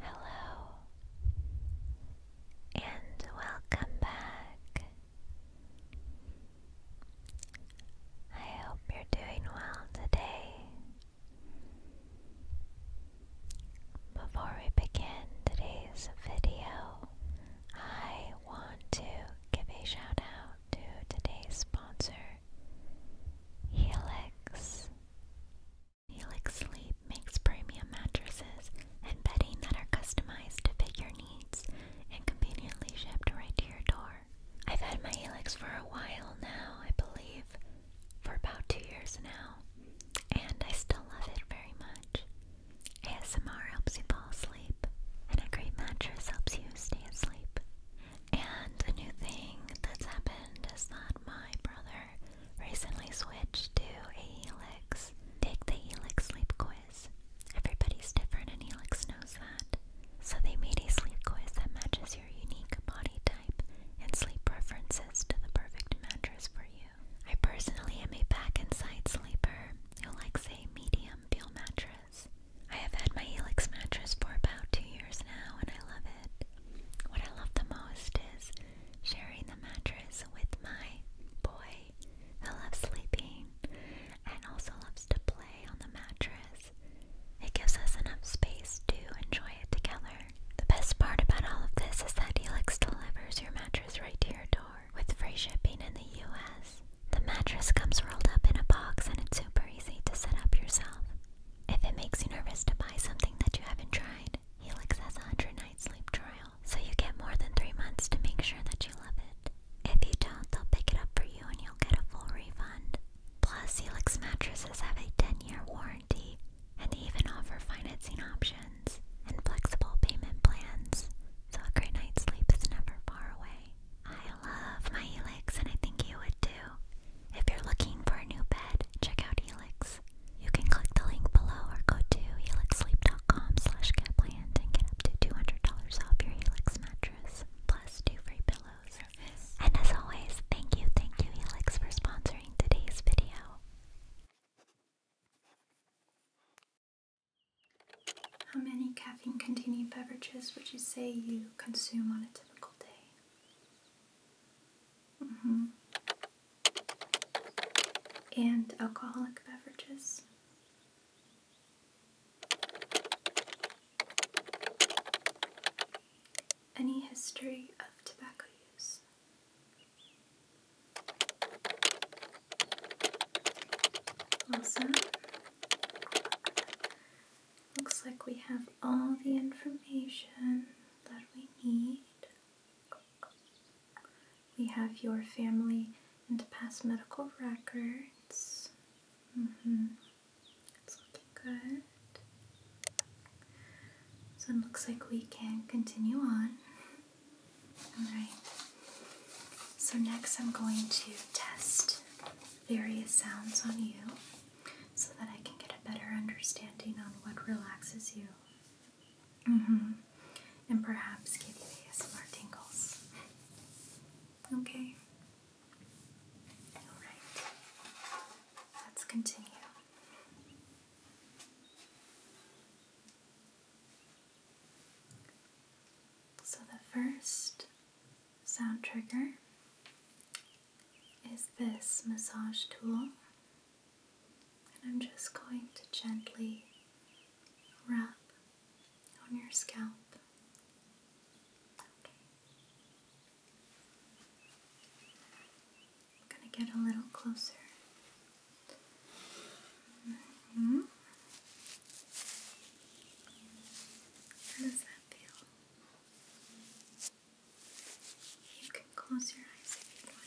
Hello, and welcome back. I hope you're doing well today. Before we begin today's video, I want to give a shout out to today's sponsor, Helix. Helix Sleep makes premium mattresses and bedding that are customized to fit your needs and conveniently shipped right to your door. I've had my Helix for a while now, I believe, for about two years now, and I still love it very much. ASMR helps you fall asleep, and a great mattress helps you stay asleep. And the new thing that's happened is that my brother recently switched to a Elix. Take the Helix sleep quiz. Everybody's different and Elix knows that. So they made a sleep quiz that matches your unique body type and sleep preferences to the perfect mattress for you. I personally am a back and side sleeper who likes a medium feel mattress. I have had my Elix mattress for about two years now and I love it. What I love the most is sharing the mattress with my boy who loves sleeping and also loves to play on the mattress. It gives us enough space to enjoy it together. The best part about all of this is that Helix delivers your mattress right to your door with free shipping in the US. The mattress comes rolled up in a box and it's super easy to set up yourself. If it makes you nervous to buy something that you haven't tried, Helix has a 100 night sleep trial, so you get more than 3 months to make sure that you love it. If you don't, they'll pick it up for you and you'll get a full refund. Plus, Helix mattresses have a 10 year warranty, and they even offer financing options and flexible payment plans, so a great night's sleep is never far away. I love my Helix and I think you would too. If you're looking for a new bed, check out Helix. You can click the link below or go to helixsleep.com slash catland and get up to $200 off your Helix mattress, plus two free pillows. And as always, thank you, thank you Helix for sponsoring today's video. How many caffeine containing beverages would you say you consume on a typical day? Mm -hmm. And alcoholic beverages. Any history of tobacco use? Awesome. Looks like we have all the information that we need. We have your family and past medical records. Mm-hmm. It's looking good. So it looks like we can continue on. Alright. So next I'm going to test various sounds on you so that I can get a better understanding on what relaxes you. Mm hmm. And perhaps give you ASMR tingles. Okay. Alright. Let's continue. So the first sound trigger is this massage tool, and I'm just going to gently wrap on your scalp. Okay. going to get a little closer. Mm-hmm. How does that feel? You can close your eyes if you want,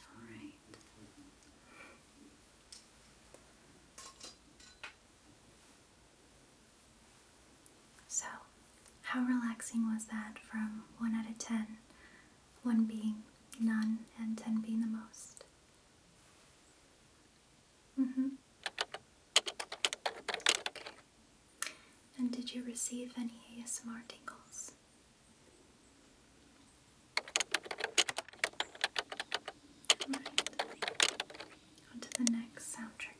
All right. So, how relaxing was that from 1 out of ten, one being none and 10 being the most. Mm hmm. And did you receive any ASMR tingles? Right. the next sound trigger.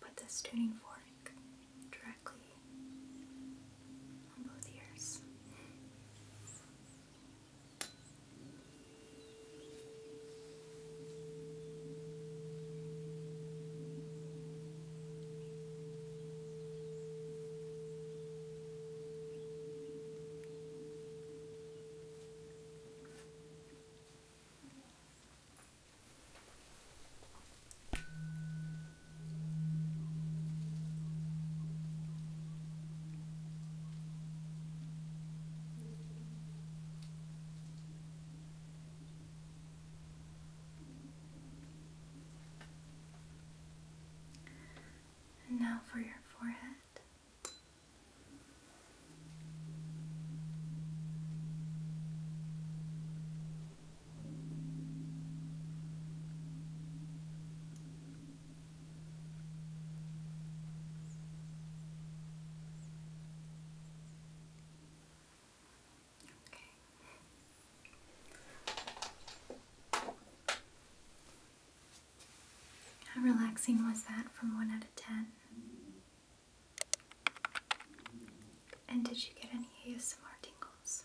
put this tuning fork directly on both ears now for your forehead. How relaxing was that from 1 out of 10? And did you get any ASMR tingles?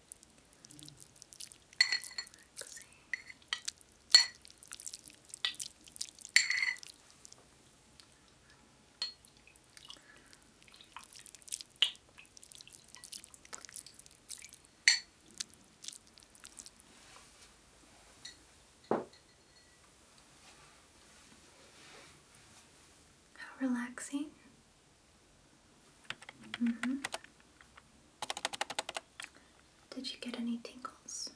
How relaxing Mm-hmm. Did you get any tingles?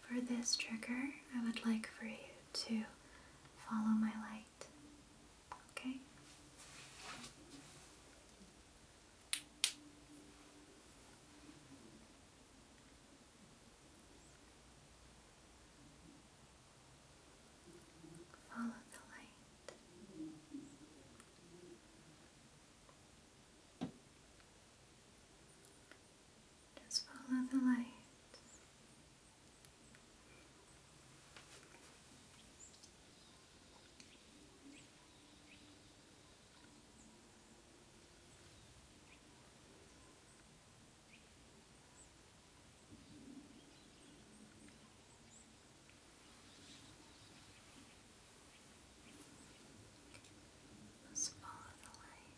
For this trigger, I would like for you to follow my light. Okay? Follow the light. Just follow the light. Just follow the light.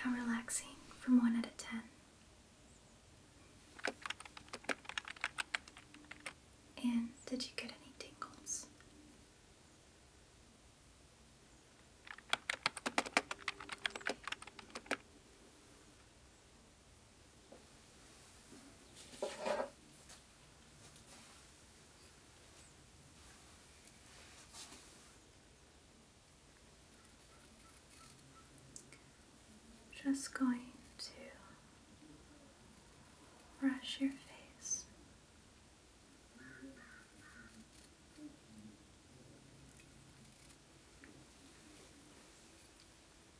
How relaxing from 1 out of 10. And did you get any tingles? Just going to brush your face.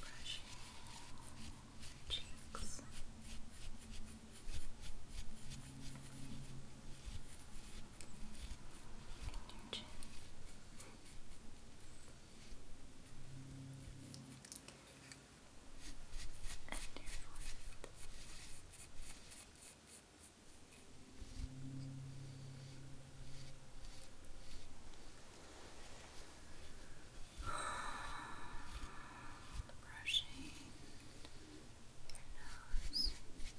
brushing your cheeks. And your chin. And your forehead. Brushing brushing your nose. And your lips. Your lips.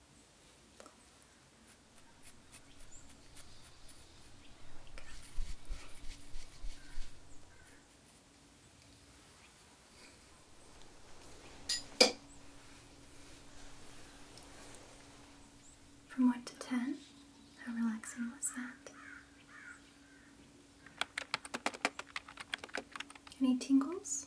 From one to ten, how relaxing was that? Any tingles?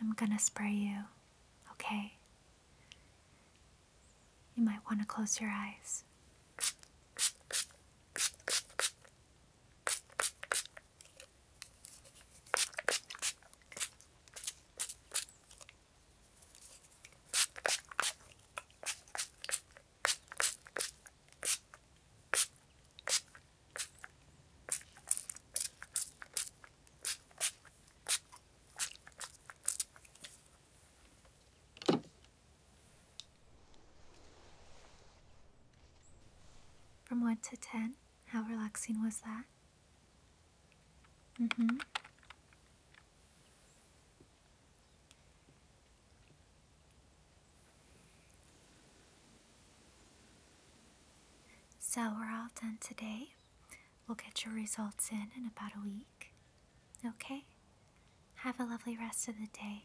I'm gonna spray you, okay? You might want to close your eyes. From 1 to 10, how relaxing was that? Mm hmm. So we're all done today. We'll get your results in in about a week. Okay? Have a lovely rest of the day.